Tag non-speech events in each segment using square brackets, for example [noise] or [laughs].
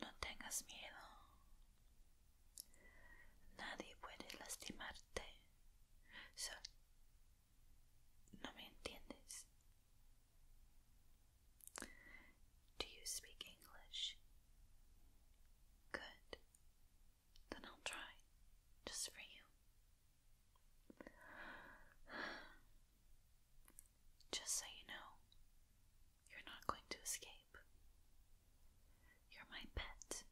Look tengas miedo. Nadie puede lastimarte. ¿No me entiendes? Do you speak English? Good. Then I'll try, just for you. Just so you know, you're not going to escape. You're my pet.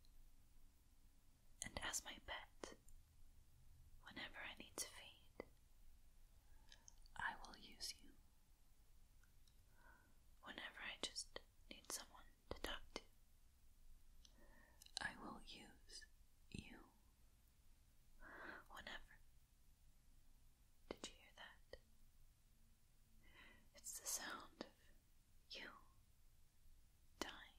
And as my pet, whenever I need to feed, I will use you. Whenever I just need someone deductive. I will use you whenever. Did you hear that? It's the sound of you dying.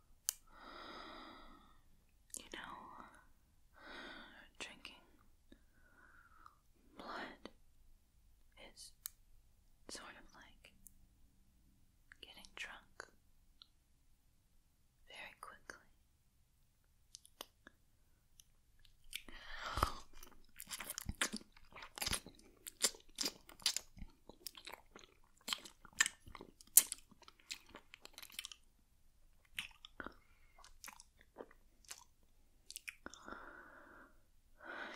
you know, drinking blood is sort of like getting drunk very quickly.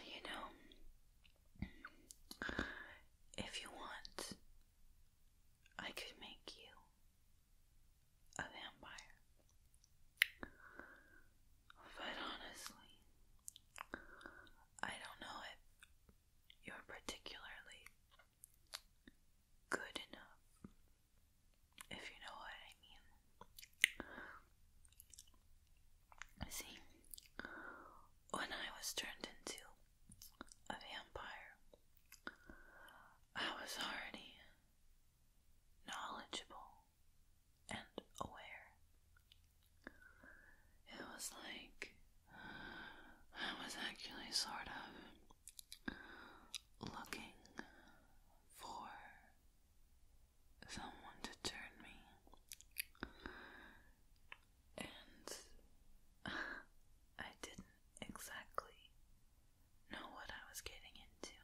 You know, if you want, I could make you a vampire. But honestly, I don't know if you're particularly good enough, if you know what I mean. See, when I was turned into a vampire, I was already knowledgeable and aware it was like I was actually sort of looking for someone to turn me. And [laughs] I didn't exactly know what I was getting into.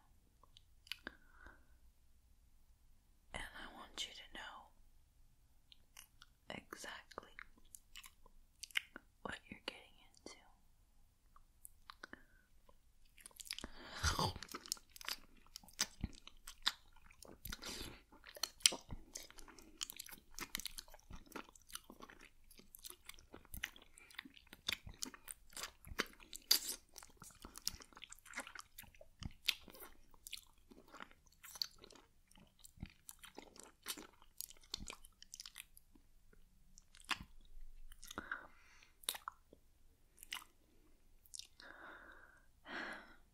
And I want you to know exactly what you're getting into.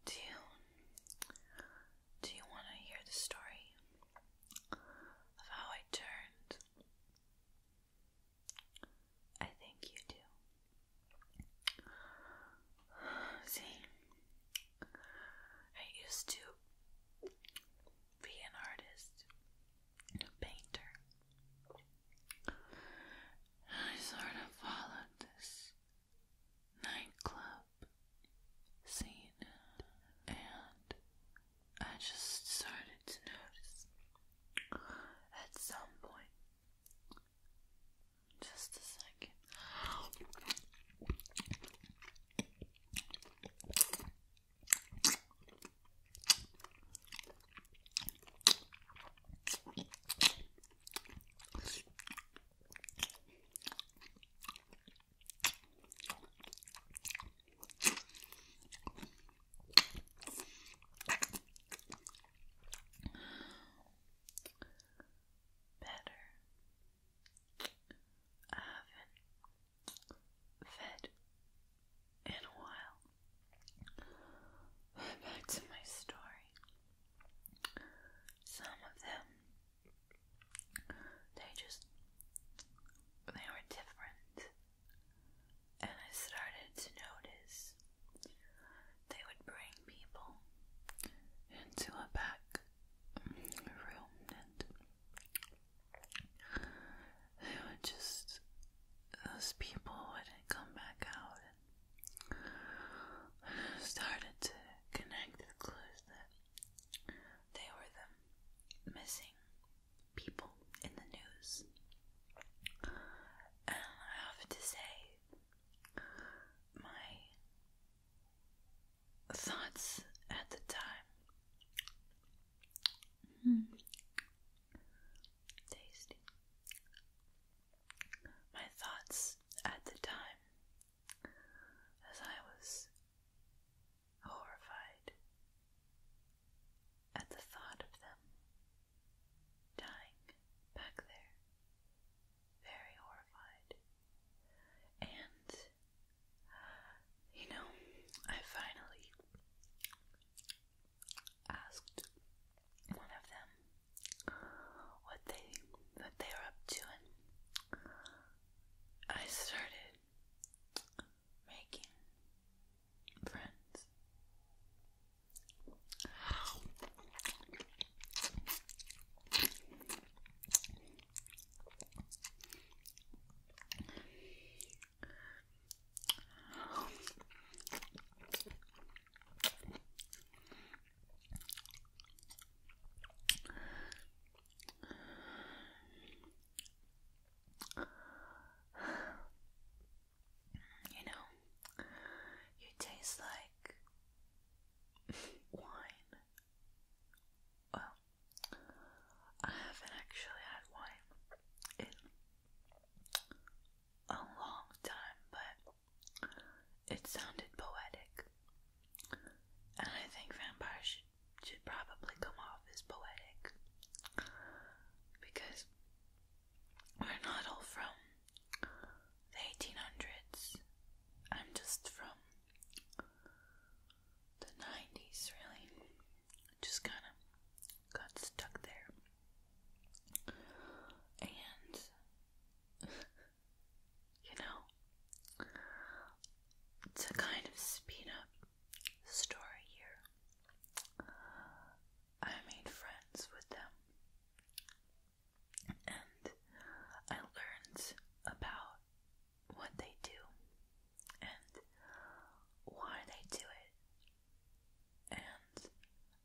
Do you do you want to hear the story of how I turned? I think you do. [sighs] See, I used to be an artist, a painter. I sort of followed this nightclub scene and I just started to notice at some point just a second. Better. I haven't fed in a while. back to my story. Some of them, they just, they were different. And I started to notice they would bring people into a back room and they would just, those people wouldn't come back out. And started to connect the clues that they were the missing people in the news. And I have to say, my thoughts at the time. Hmm. Tasty. My thoughts at the time as I was horrified at the thought of them dying back there very horrified. And, you know, I finally asked one of them what they what they were up to, and I started making friends. You know, you taste like wine. Well, I haven't actually had wine in a long time, but it sounded poetic. And I think vampire should, should probably come off as poetic because we're not all from the 1800s hundreds. I'm just from the 90s, really. Just kind of got stuck there. And, [laughs] you know, to kind of speed up story here, I made friends with them and I learned about what they do and why they do it, and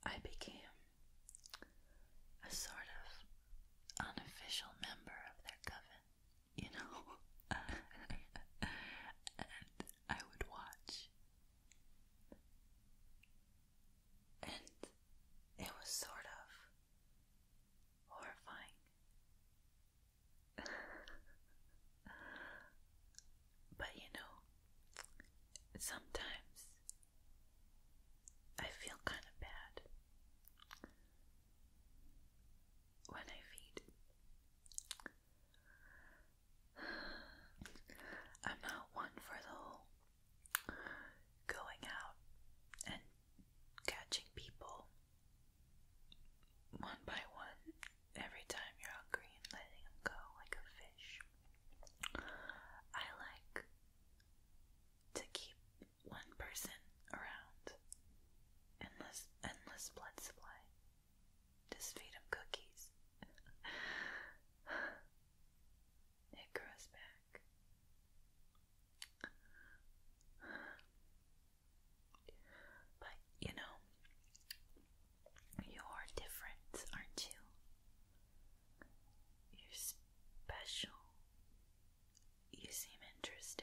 I became a sort of unofficial member of their coven, you know. [laughs] and I would watch and it was sort of horrifying. [laughs] but you know, sometimes I feel kind of bad when I feed. [sighs] I'm not one for the whole going out and catching people one by one every time you're hungry and letting them go like a fish. I like to keep one person around endless endless blood supply. Just feed them cookies. [laughs] it grows back back. you know, you're different, aren't you? You're special. You seem interested.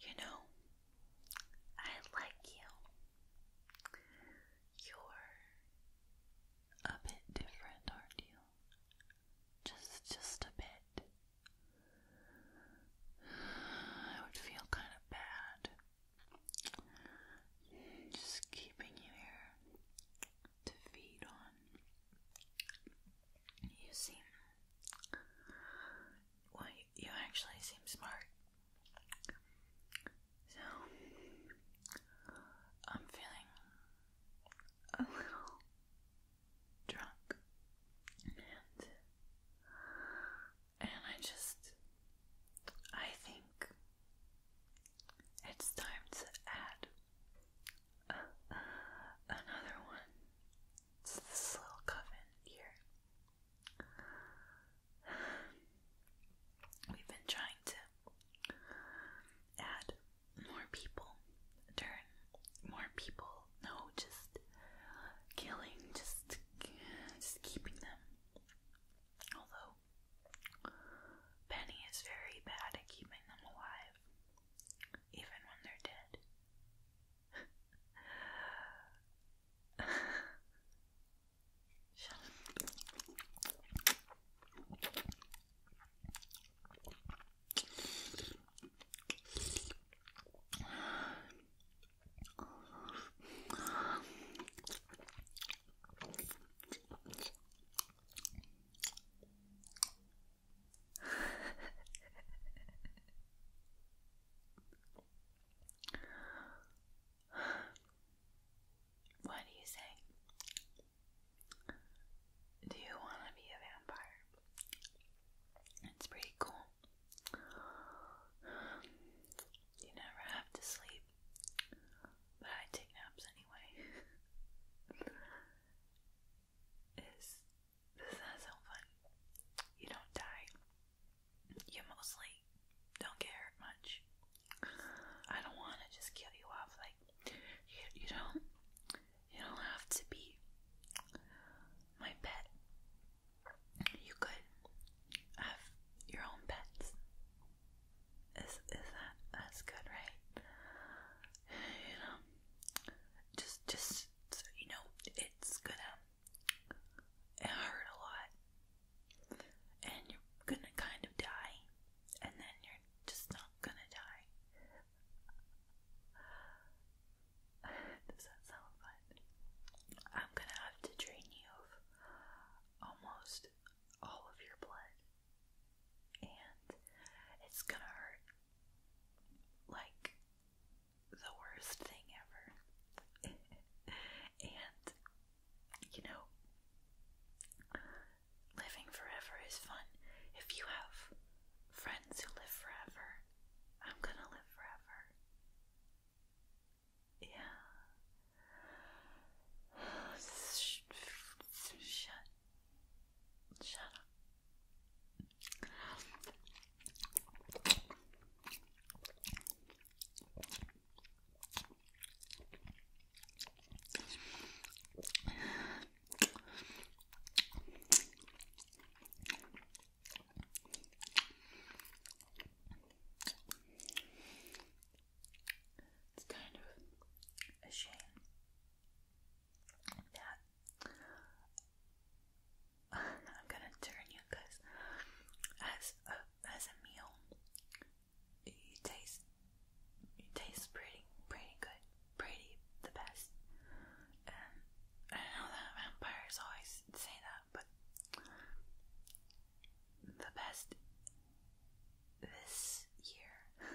You know, I like you. You're a bit different, aren't you? Just just a bit. I would feel kind of bad just keeping you here to feed on. You seem well, you, actually seem smart. So, I'm feeling a little drunk, and and I just I think it's time to add uh, uh, another one. It's this little coven here. We've been trying to add more people, turn more people. No, just killing, just keeping them. Although Penny is very bad at keeping them alive live, even when they're dead. [laughs] what do you say? Do you want to be a vampire? It's pretty cool. You never have to sleep, but I take naps anyway. [laughs] is this is so fun. You don't die. You mostly don't get hurt much. I don't want to just kill you off. Like you, you don't, you don't have to be my pet. You could have your own pets. Is is that that's good, right? you know, just just you know, it's gonna it hurt a lot, and you're gonna kind of die, and then you're just not gonna die. [sighs] Does that sound fun? I'm gonna have to drain you of almost all of your blood, and it's gonna hurt like the worst thing ever. [laughs] and, you know, living forever is fun. If you have friends who live forever, I'm gonna live forever. Yeah. [sighs] Shut Shut up. It's kind of a shame that [laughs] I'm gonna turn you because as a as a meal, you taste you taste pretty pretty good, pretty the best. And I know that vampires always say that, but the best this year [laughs]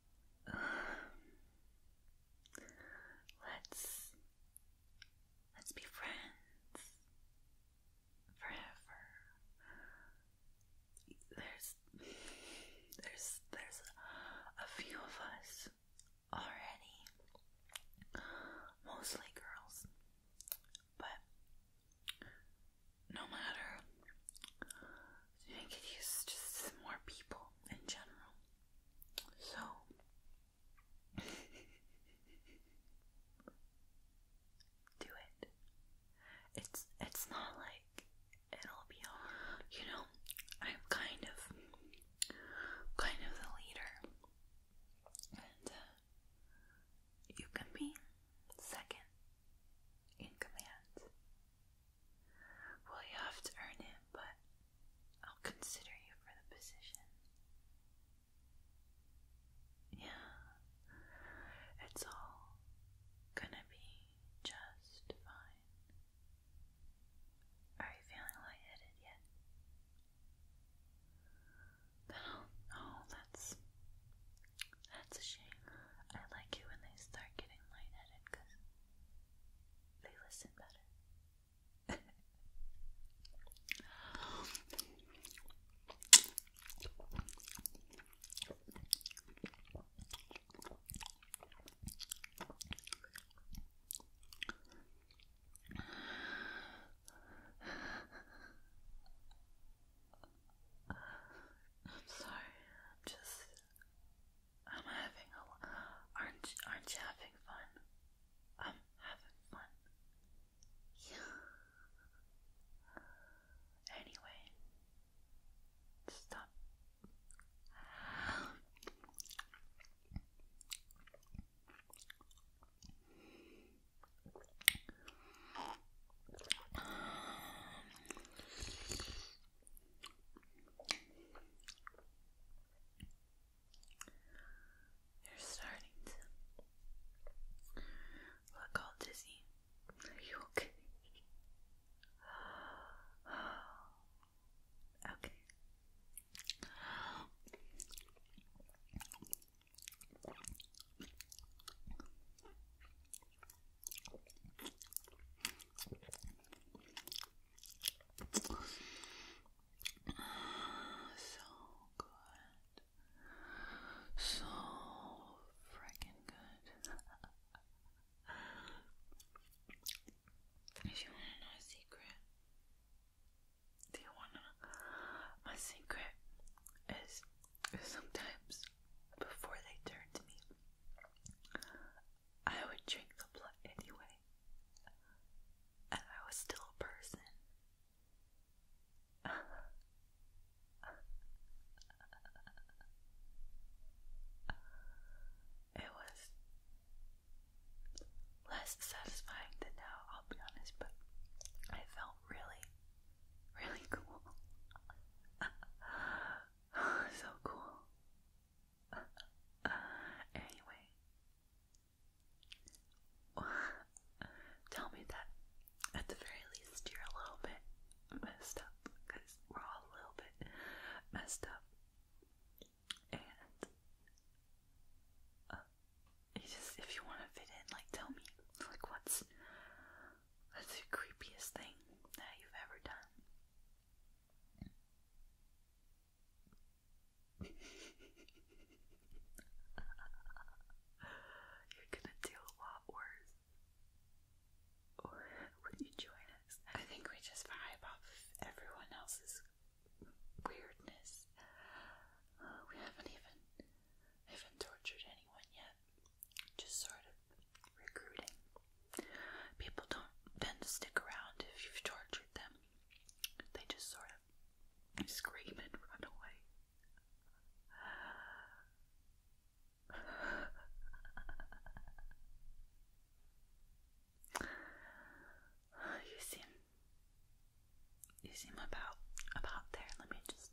Let's let's be friends forever. There's there's there's a few of us already, mostly girls, but no matter so you get used to more people in general. So [laughs] do it. It's it's not like it'll be hard. You know, I'm kind of kind of the leader. And uh, you can be second in command. Well, you have to earn it, but I'll consider you for the position. Yeah, it's all gonna be just fine. Are you feeling lightheaded yet? oh, that's that's a shame. I like it when they start getting lightheaded because they listen better. [laughs] I'm sorry, I'm just I'm having a aren't aren't you having fun? I'm having fun. Yeah. Anyway, stop. You're starting to look all dizzy. you okay? [gasps] okay. So good. So freaking good. if you want to know a secret, do you want to? My secret is sometimes before they turned me, I would drink the blood anyway, and I was still a person. [laughs] it was less satisfying than now, I'll be honest, but I felt really, really cool. [laughs] [sighs] so cool. [laughs] anyway, [sighs] tell me that at the very least you're a little bit messed up because we're all a little bit messed up. And uh, you just, if you want to fit in, like, tell me, like, what's that's the creepiest thing that you've ever done. [laughs] You're gonna do a lot worse. Or you join us? I think we just vibe off everyone else's weirdness. Uh, we haven't even, even tortured anyone yet just sort of recruiting. People don't tend to stick around if you've tortured them, they just sort of scream and run away. [sighs] you seem you seem about about there. Let me just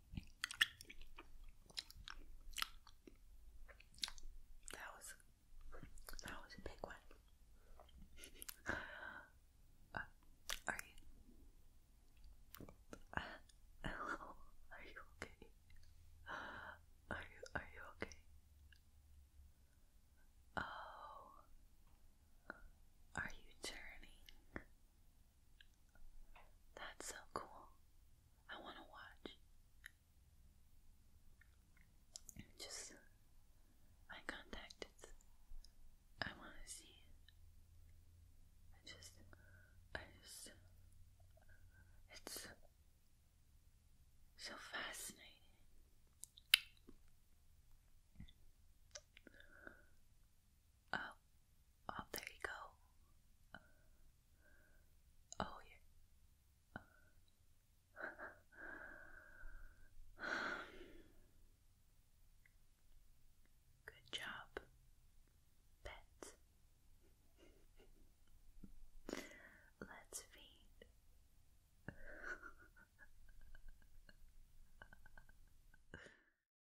that was that was a big one. Uh, are you? hello, uh, [laughs] are you okay? Are you are you okay? Oh, are you turning? That's so cool. I want to watch. Just eye contact. It's, I want to see. I just, I just, it's so fascinating. Oh, Oh, there you go. Oh, yeah. [sighs] Good job, pet. Let's feed. [laughs]